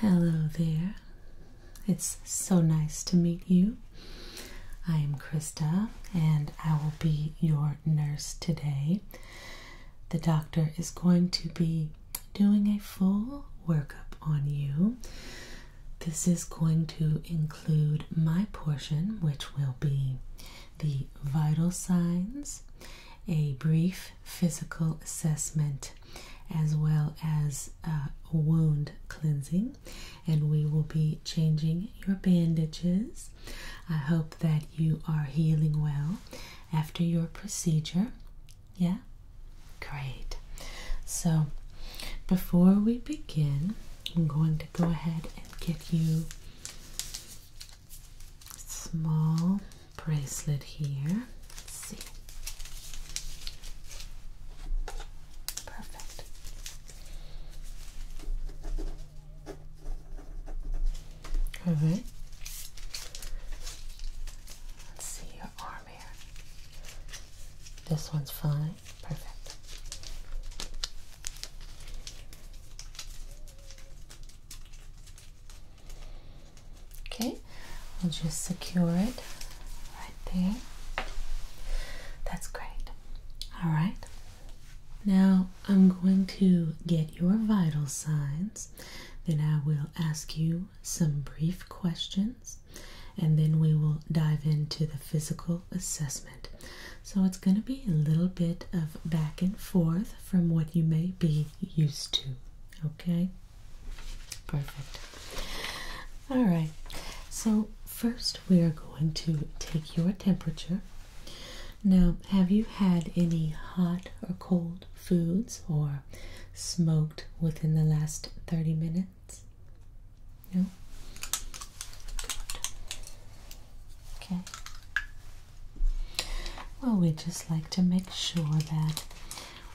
Hello there. It's so nice to meet you. I am Krista and I will be your nurse today. The doctor is going to be doing a full workup on you. This is going to include my portion, which will be the vital signs, a brief physical assessment as well as wound cleansing, and we will be changing your bandages. I hope that you are healing well after your procedure. Yeah, great. So, before we begin, I'm going to go ahead and give you small bracelet here. Let's see. Perfect. All right. Let's see your arm here. This one's fine. Perfect. Okay, we'll just secure it right there. That's great. All right, now I'm going to get your vital signs, then I will ask you some brief questions, and then we will dive into the physical assessment. So it's going to be a little bit of back and forth from what you may be used to. Okay, Perfect. All right. So, first we are going to take your temperature. Now, have you had any hot or cold foods or smoked within the last 30 minutes? No? Okay. Well, we just like to make sure that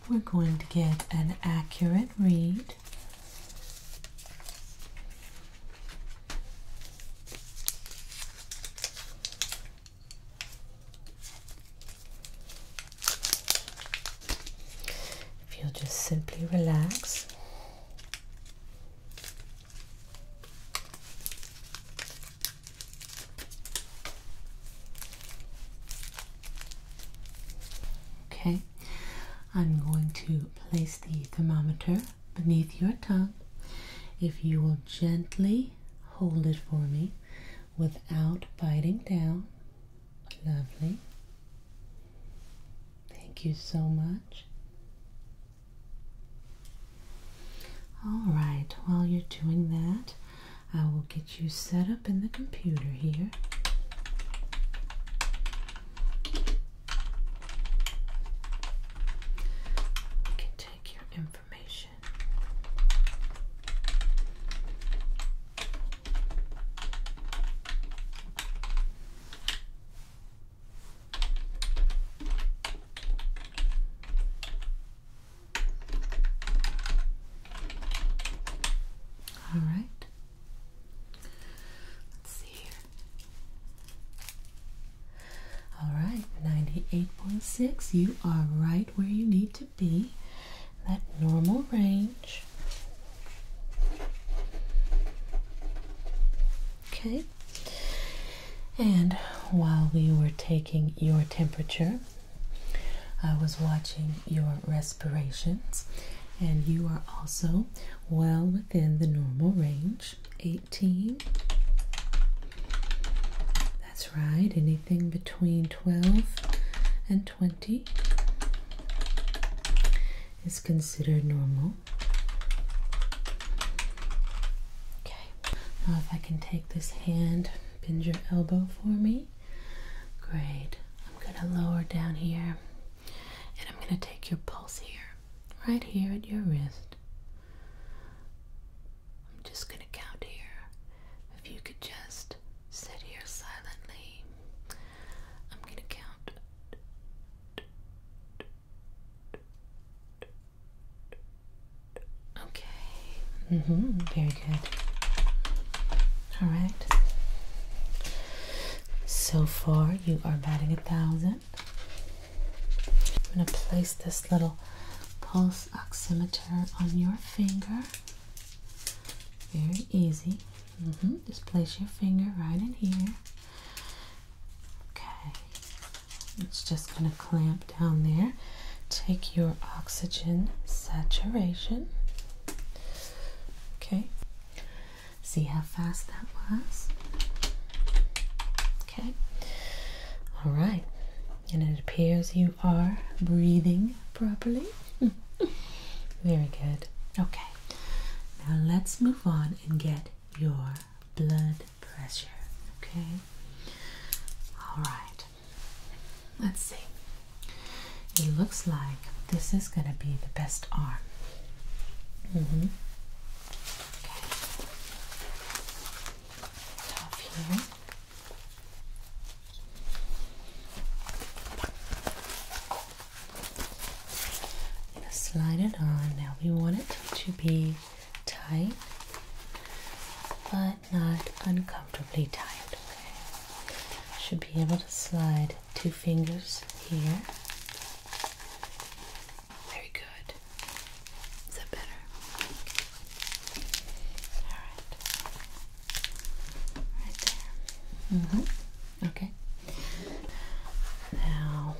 we're going to get an accurate read if you'll just simply relax Okay, I'm going to place the thermometer beneath your tongue. If you will gently hold it for me without biting down, lovely. Thank you so much. All right, while you're doing that, I will get you set up in the computer here. can take your information. All right. Let's see here. All right, 98.6. You are right where you need to be. That normal range. Okay. And while we were taking your temperature, I was watching your respirations, and you are also well within the normal range 18. That's right, anything between 12 and 20 is considered normal. Okay, now if I can take this hand, bend your elbow for me great. I'm gonna lower down here and I'm gonna take your pulse here, right here at your wrist. I'm just gonna count here. If you could just sit here silently, I'm gonna count. Okay, hmm Very good. All right. So far, you are batting a thousand. I'm going to place this little pulse oximeter on your finger. Very easy. -hmm. Just place your finger right in here. Okay. It's just going to clamp down there take your oxygen saturation. Okay, see how fast that was. Okay, all right, and it appears you are breathing properly. Very good. Okay, now let's move on and get your blood pressure. Okay, all right. Let's see. It looks like this is going to be the best arm. Mm-hmm. Okay. Top here. slide it on. Now we want it to be tight, but not uncomfortably tight. Okay, should be able to slide two fingers here. Very good. Is that better? Okay. All right, right there. hmm. Okay. Now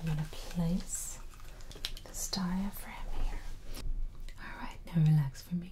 I'm gonna place this diaphragm here. All right, now relax for me.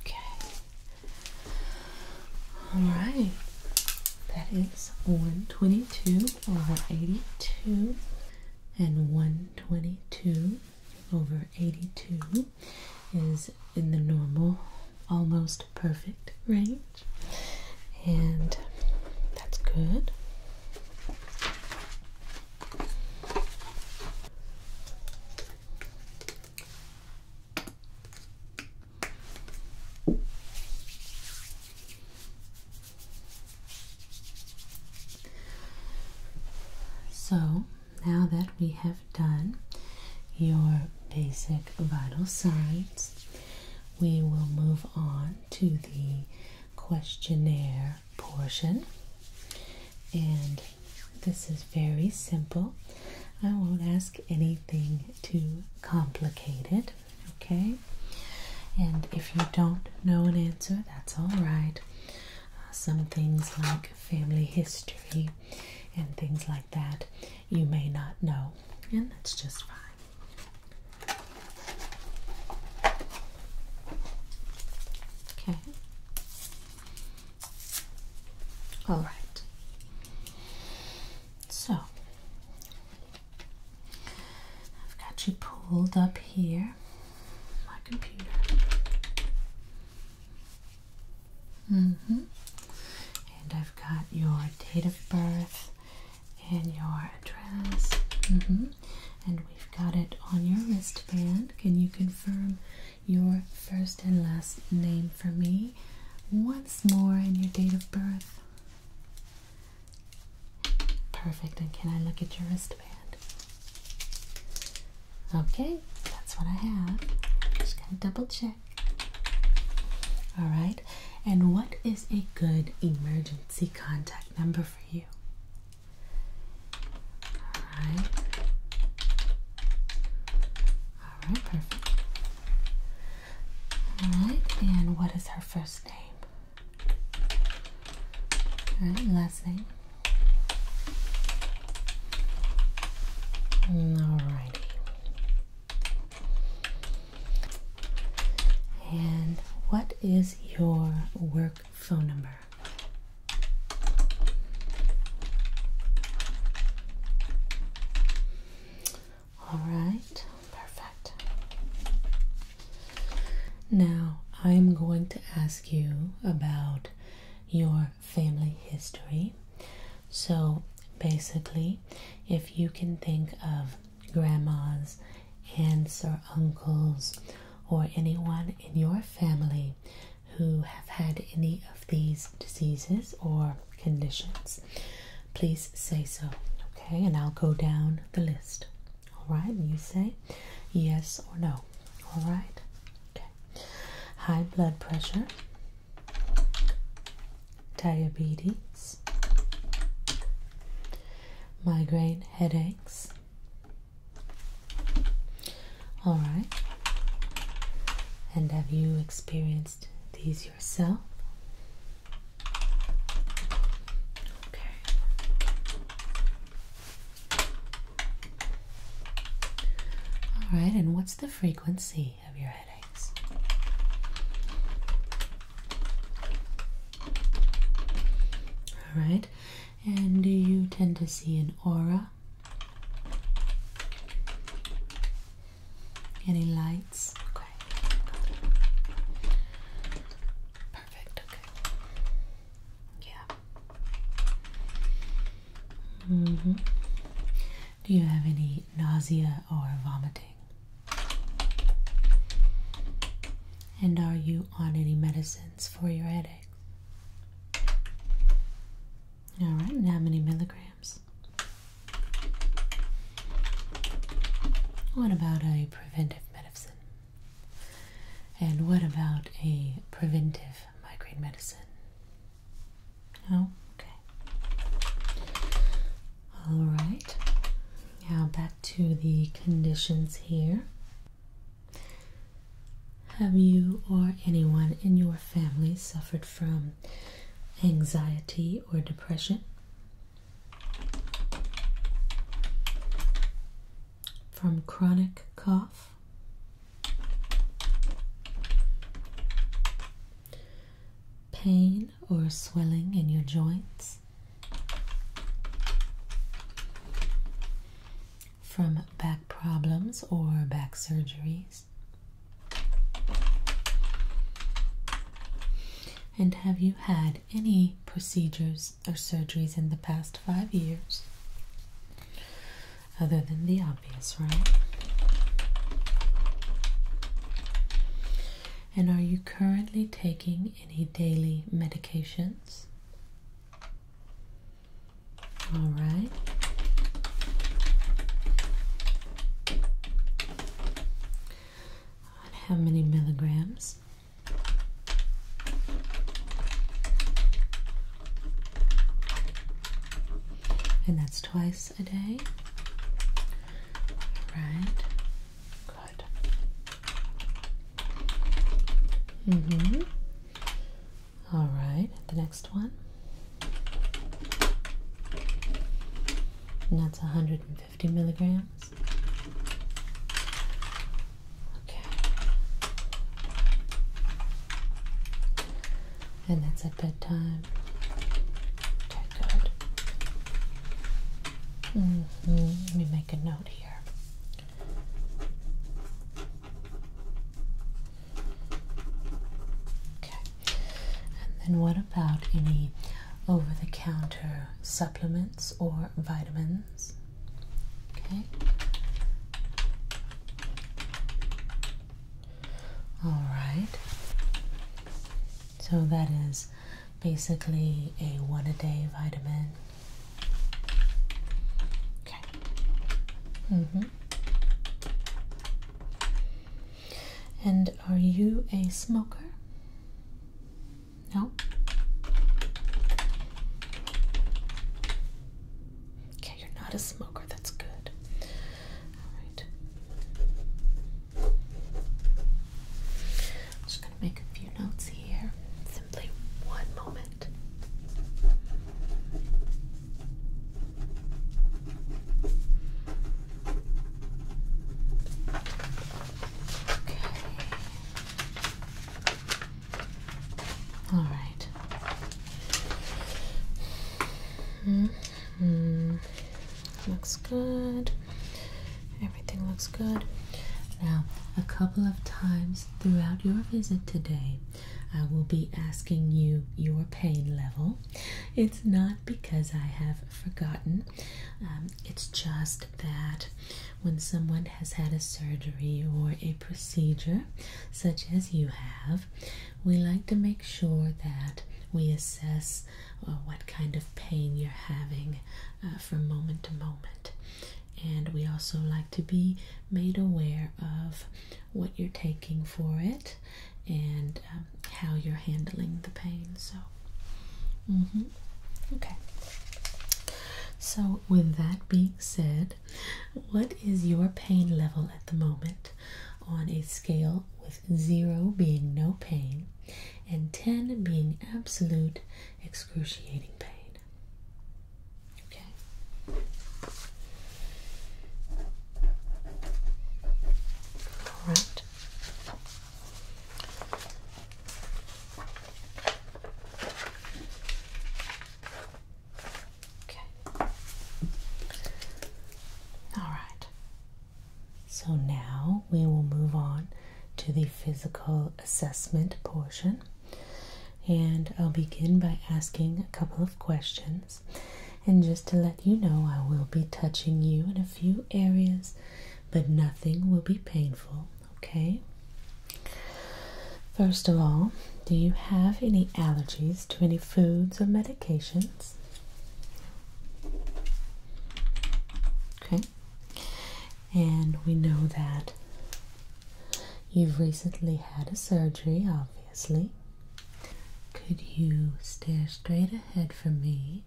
Okay. All right. That is 122 over 82 and 122 over 82 is in the normal almost perfect range and that's good. So now that we have done your basic vital signs, we will move on to the questionnaire portion. And this is very simple. I won't ask anything too complicated, okay? And if you don't know an answer, that's all right. Uh, some things like family history and things like that you may not know, and that's just fine. Okay. All right. So, I've got you pulled up here, my computer. Mm hmm And I've got your date of birth and your address. Mm-hmm. And we've got it on your wristband. Can you confirm your first and last name for me once more and your date of birth? Perfect. And can I look at your wristband? Okay, that's what I have. Just going to double check. All right. And what is a good emergency contact number for you? All right. All right, perfect. All right. And what is her first name? All right, last name. All righty. And what is your work phone number? All right, perfect. Now I'm going to ask you about your family history. So basically, if you can think of grandmas, aunts, or uncles, or anyone in your family who have had any of these diseases or conditions, please say so. Okay, and I'll go down the list. All right, you say yes or no. All right, okay. High blood pressure, diabetes, migraine headaches. All right. And have you experienced these yourself? Okay. All right, and what's the frequency? any of your headaches. All right, and do you tend to see an aura? Any lights? Okay. Perfect. Okay. Yeah. Mhm. do you have any nausea or vomiting? And are you on any medicines for your headaches? Alright, and how many milligrams? What about a preventive medicine? And what about a preventive migraine medicine? Oh, okay. All right. Now back to the conditions here. Have you or anyone in your family suffered from anxiety or depression? From chronic cough? pain or swelling in your joints from back problems or back surgeries? And have you had any procedures or surgeries in the past five years? Other than the obvious, right? And are you currently taking any daily medications? All right. how many milligrams? And that's twice a day. All right. Good. Mm-hmm. All right, the next one. And that's 150 milligrams. Okay. And that's at bedtime. good. Mm-hmm. Let me make a note here. Okay. And then what about any over the counter supplements or vitamins? Okay. All right. So that is basically a one a day vitamin. Okay. hmm And are you a smoker? No. Okay, you're not a smoker. That's good. All right. I'm just going to make a few notes here. Simply one moment. Okay. All right. Mm -hmm. Looks good. Everything looks good. Now, a couple of times throughout your visit today, I will be asking you your pain level. It's not because I have forgotten, um, it's just that when someone has had a surgery or a procedure, such as you have, we like to make sure that we assess uh, what kind of pain you're having uh, from moment to moment. And we also like to be made aware of what you're taking for it and um, how you're handling the pain. So, mm-hmm. okay. So, with that being said, what is your pain level at the moment on a scale with zero being no pain and 10 being absolute excruciating pain. Okay. All right. Okay. All right. So now we will move on to the physical assessment portion. And I'll begin by asking a couple of questions. And just to let you know, I will be touching you in a few areas, but nothing will be painful, okay? First of all, do you have any allergies to any foods or medications? Okay. And we know that you've recently had a surgery, obviously. Could you stare straight ahead for me?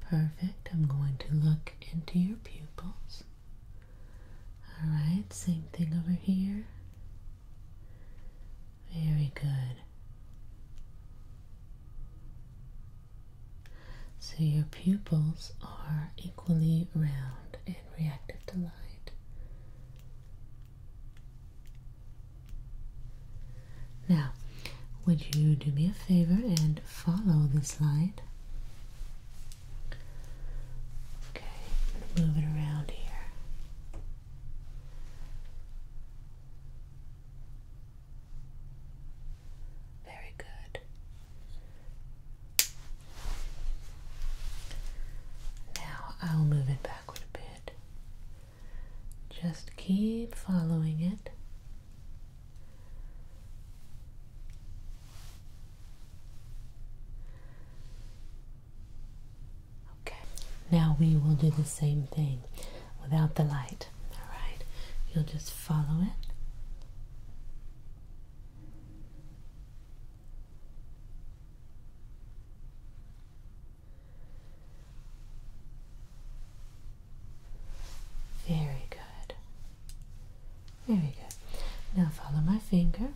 Perfect. I'm going to look into your pupils. Alright, same thing over here. Very good. So your pupils are equally round and reactive to light. Now, would you do me a favor and follow this light? Okay, move it around here. Very good. Now I'll move it backward a bit. Just keep following it. Okay, now we will do the same thing without the light. Alright, you'll just follow it. Very good. Very good. Now follow my finger.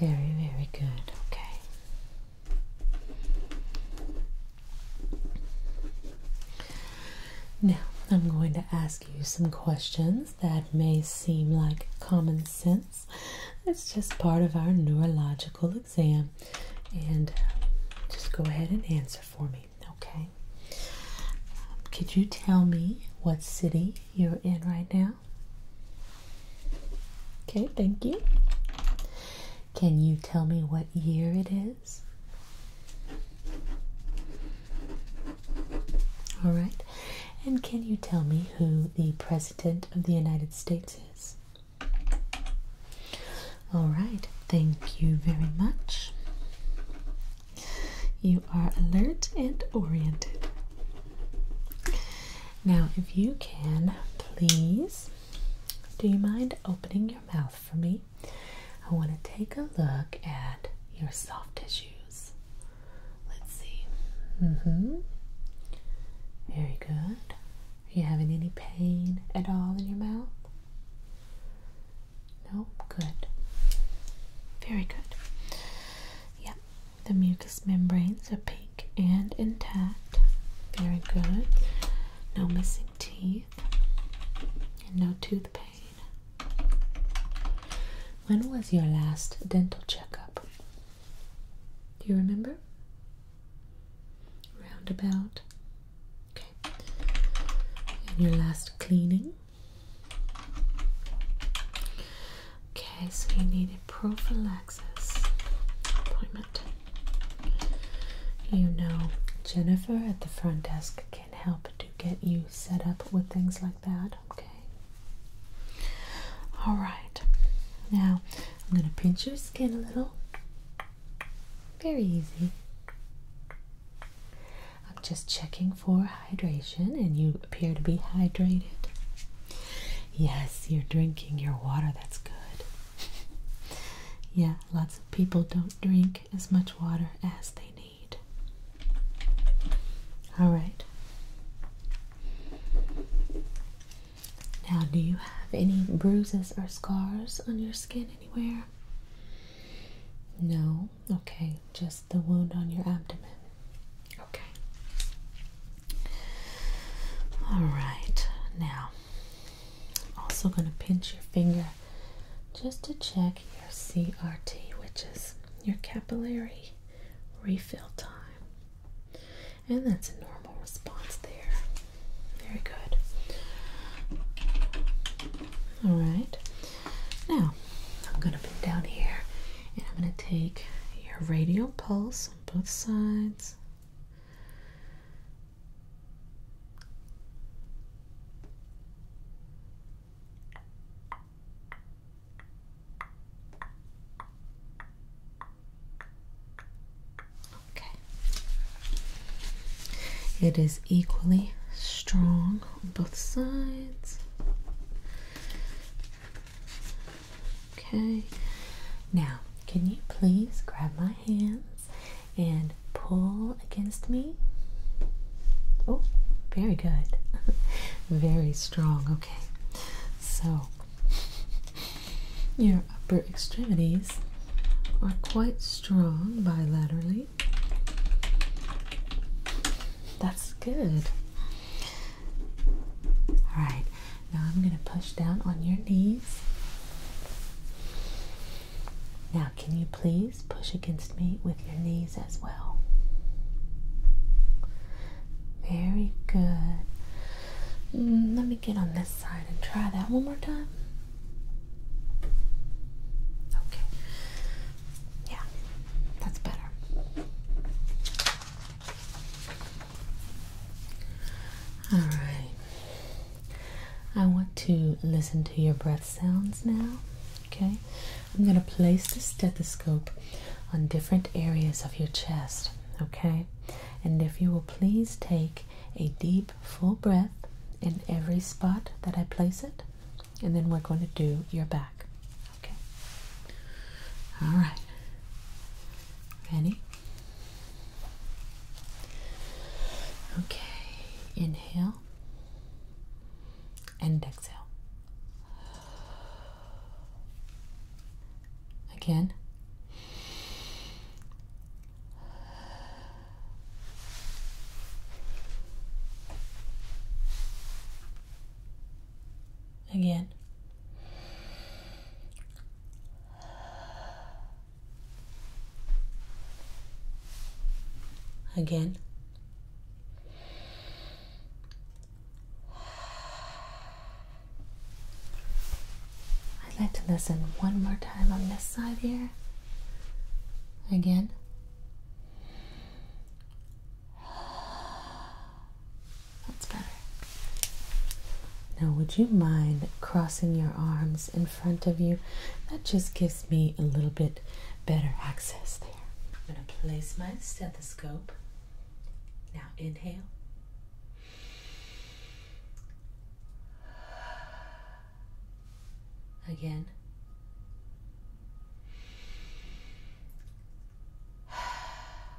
Very, very good. Okay. Now, I'm going to ask you some questions that may seem like common sense. It's just part of our neurological exam. And um, just go ahead and answer for me, okay? Um, could you tell me what city you're in right now? Okay, thank you. Can you tell me what year it is? All right. And can you tell me who the President of the United States is? All right. Thank you very much. You are alert and oriented. Now, if you can, please, do you mind opening your mouth for me? I want to take a look at your soft tissues. Let's see. Mm hmm. Very good. Are you having any pain at all in your mouth? No? Good. Very good. Yep. The mucous membranes are pink and intact. Very good. No missing teeth and no tooth pain. When was your last dental checkup? Do you remember? Roundabout. Okay. And your last cleaning? Okay, so you need a prophylaxis appointment. You know, Jennifer at the front desk can help to get you set up with things like that, okay? Alright, now I'm going to pinch your skin a little. Very easy. I'm just checking for hydration, and you appear to be hydrated. Yes, you're drinking your water, that's good. yeah, lots of people don't drink as much water as they need. All right. Now, do you have any bruises or scars on your skin anywhere? No? Okay, just the wound on your abdomen. Okay. All right, now I'm also going to pinch your finger just to check your CRT, which is your capillary refill time. And that's a normal response there. Very good. All right, now I'm going to put down here and I'm going to take your radial pulse on both sides. Okay. It is equally strong on both sides. Okay. Now, can you please grab my hands and pull against me? Oh, very good. very strong. Okay. So, your upper extremities are quite strong bilaterally. That's good. All right. Now I'm going to push down on your knees. Now, can you please push against me with your knees as well? Very good. Mm, let me get on this side and try that one more time. Okay. Yeah, that's better. All right. I want to listen to your breath sounds now. Okay. I'm going to place the stethoscope on different areas of your chest. Okay. And if you will please take a deep, full breath in every spot that I place it. And then we're going to do your back. Okay. All right. Ready? Okay, inhale and exhale. Again. Again. Again. I'd like to listen one more time on this side here. Again. That's better. Now, would you mind crossing your arms in front of you? That just gives me a little bit better access there. I'm going to place my stethoscope. Now, inhale. Again.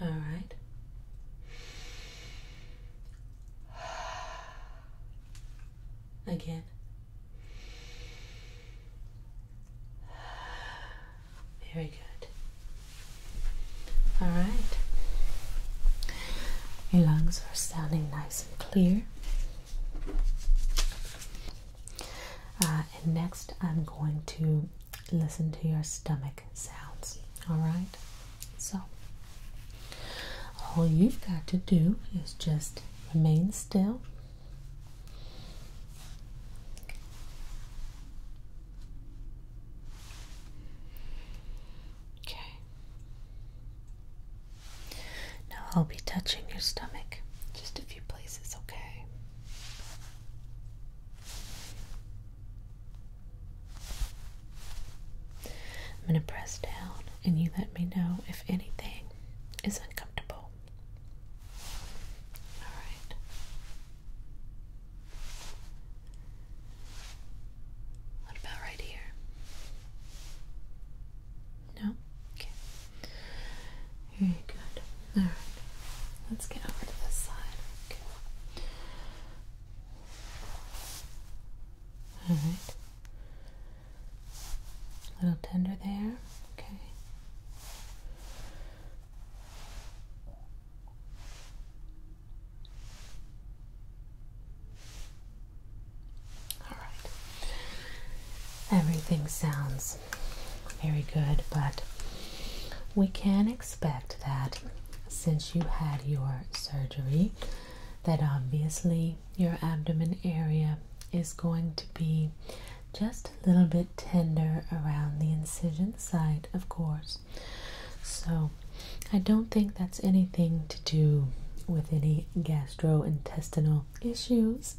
All right. Again. Very good. All right. Your lungs are sounding nice and clear. Uh, and next, I'm going to listen to your stomach sounds. All right? So, all you've got to do is just remain still. Okay. Now I'll be touching your stomach just a few places, okay? I'm going to press down and you let me know if anything is uncomfortable. All right. What about right here? No? Okay. Very good. All right. Let's get over to this side. All right. A little tender there. Okay. All right. Everything sounds very good, but we can expect that since you had your surgery, that obviously your abdomen area is going to be just a little bit tender around the incision site, of course. So, I don't think that's anything to do with any gastrointestinal issues,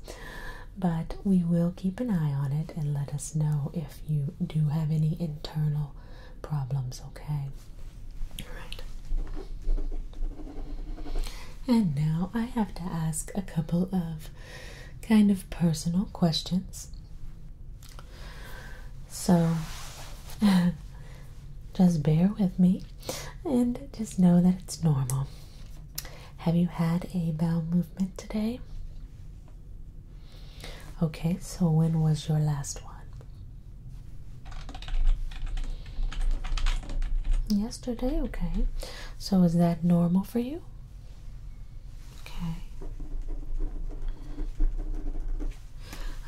but we will keep an eye on it and let us know if you do have any internal problems, okay? Alright. And now I have to ask a couple of kind of personal questions. So just bear with me and just know that it's normal. Have you had a bowel movement today? Okay, so when was your last one? Yesterday, okay. So is that normal for you? Okay.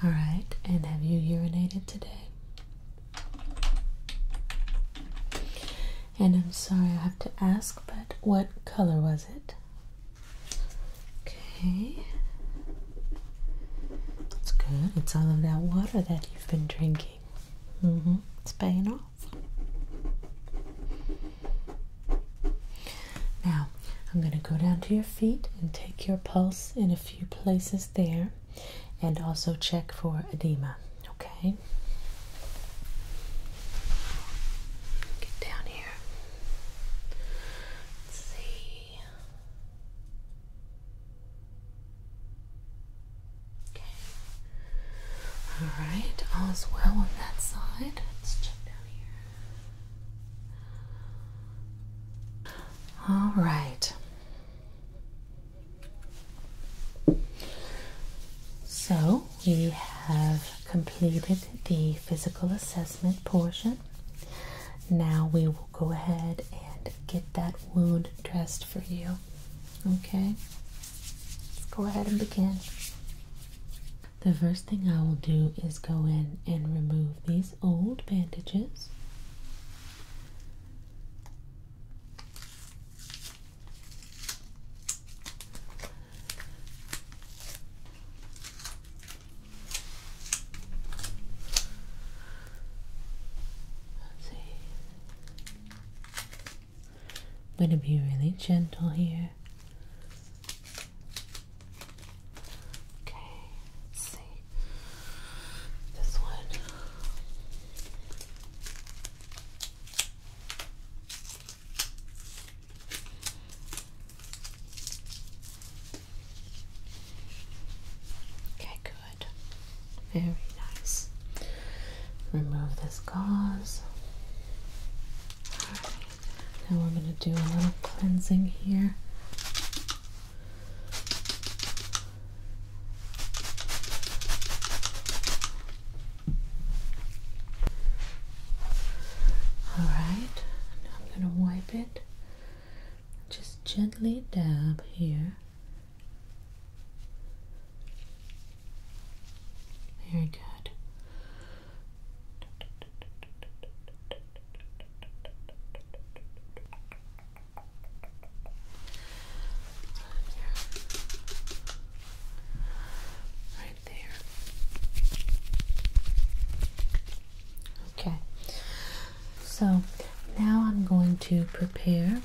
All right, and have you urinated today? And I'm sorry I have to ask, but what color was it? Okay. It's good. It's all of that water that you've been drinking. Mm hmm It's paying off. Now, I'm going to go down to your feet and take your pulse in a few places there and also check for edema. Okay. Get down here. Let's see. Okay. All right. All's well on that side. Let's check down here. All right. So, we have completed the physical assessment portion. Now we will go ahead and get that wound dressed for you. Okay? Let's go ahead and begin. The first thing I will do is go in and remove these old bandages. I'm going to be really gentle here. Okay, see. This one. Okay, good. Very nice. Remove this gauze. Alright, now we're going to do a little cleansing here. All right, I'm gonna wipe it. Just gently dab here. Very good. Right Okay, so now I'm going to prepare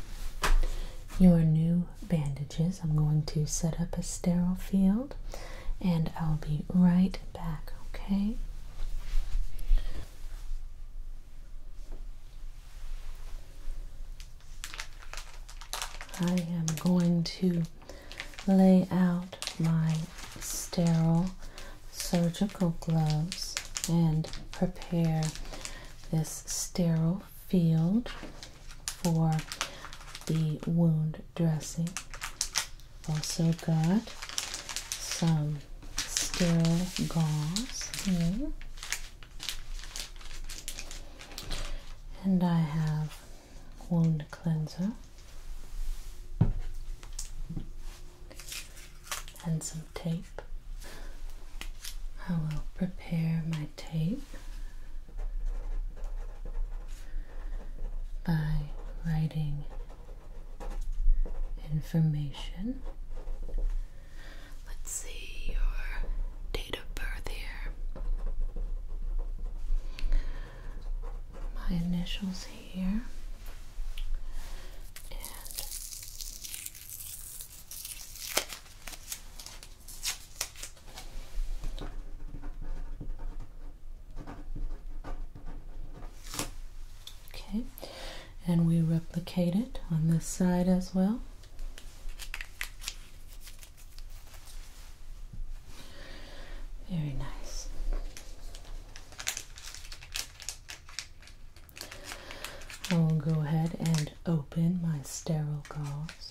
your new bandages. I'm going to set up a sterile field and I'll be right back, okay? I am going to lay out my sterile surgical gloves and prepare this sterile field for the wound dressing. Also got some sterile gauze here. And I have wand cleanser and some tape. I will prepare my tape by writing information. Let's see your date of birth here my initials here and Okay, and we replicate it on this side as well. Very nice. I will go ahead and open my sterile gauze.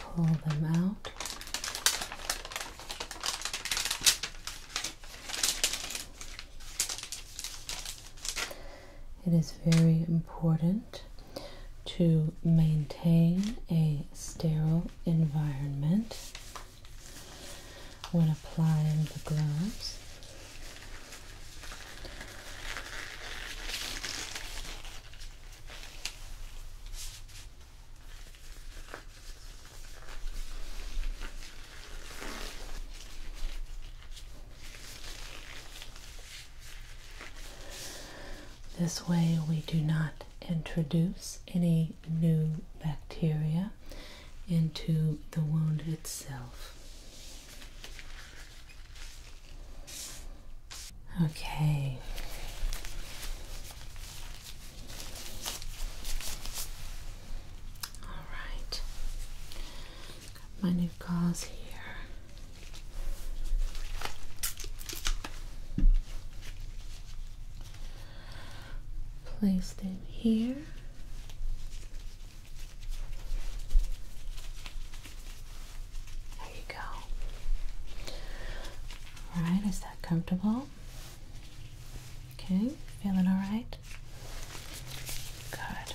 pull them out. It is very important to maintain a sterile environment when applying the gloves. This way we do not introduce any new bacteria into the wound itself. Okay. All right. my new gauze here. Placed in here. There you go. All right, is that comfortable? Okay, feeling all right? Good.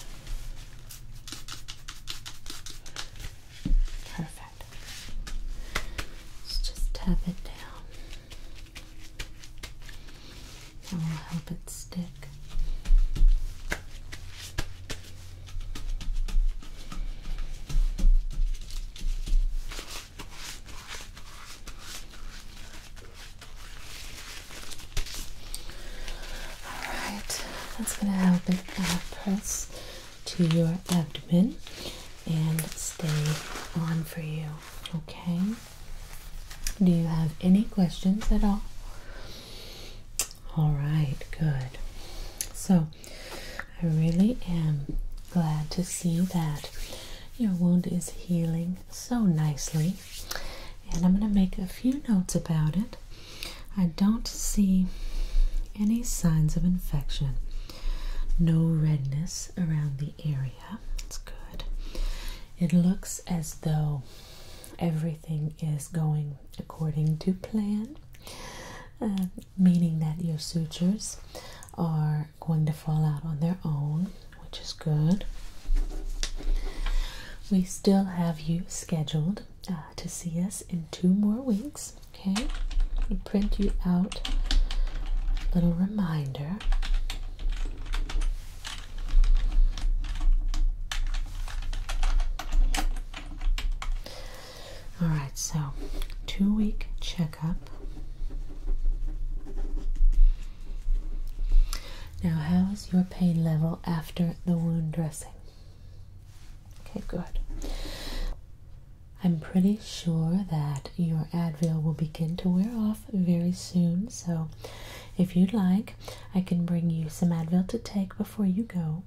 Perfect. Let's just tap it down. That will help it stick. Alright, that's going to help it press to your abdomen and stay on for you. Okay. Do you have any questions at all? All right, good. So I really am glad to see that your wound is healing so nicely. And I'm going to make a few notes about it. I don't see any signs of infection. No redness around the area. It's good. It looks as though everything is going according to plan. Uh, meaning that your sutures are going to fall out on their own, which is good. We still have you scheduled uh, to see us in two more weeks. Okay, we print you out little reminder. All right, so two week checkup. Now, how is your pain level after the wound dressing? Okay, good. I'm pretty sure that your Advil will begin to wear off very soon, so if you'd like, I can bring you some Advil to take before you go.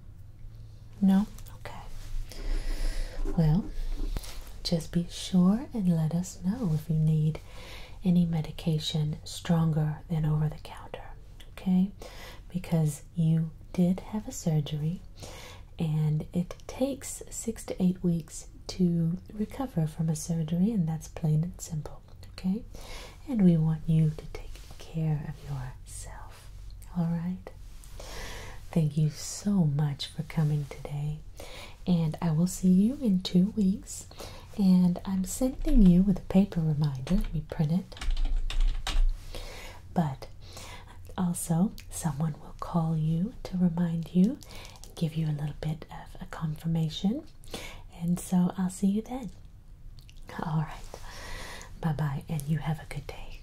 No? Okay. Well, just be sure and let us know if you need any medication stronger than over the counter, okay? Because you did have a surgery and it takes six to eight weeks to recover from a surgery, and that's plain and simple, okay? And we want you to take care of yourself. All right. Thank you so much for coming today. And I will see you in two weeks. And I'm sending you with a paper reminder. Let me print it. But also, someone will call you to remind you and give you a little bit of a confirmation. And so I'll see you then. All right. Bye bye, and you have a good day.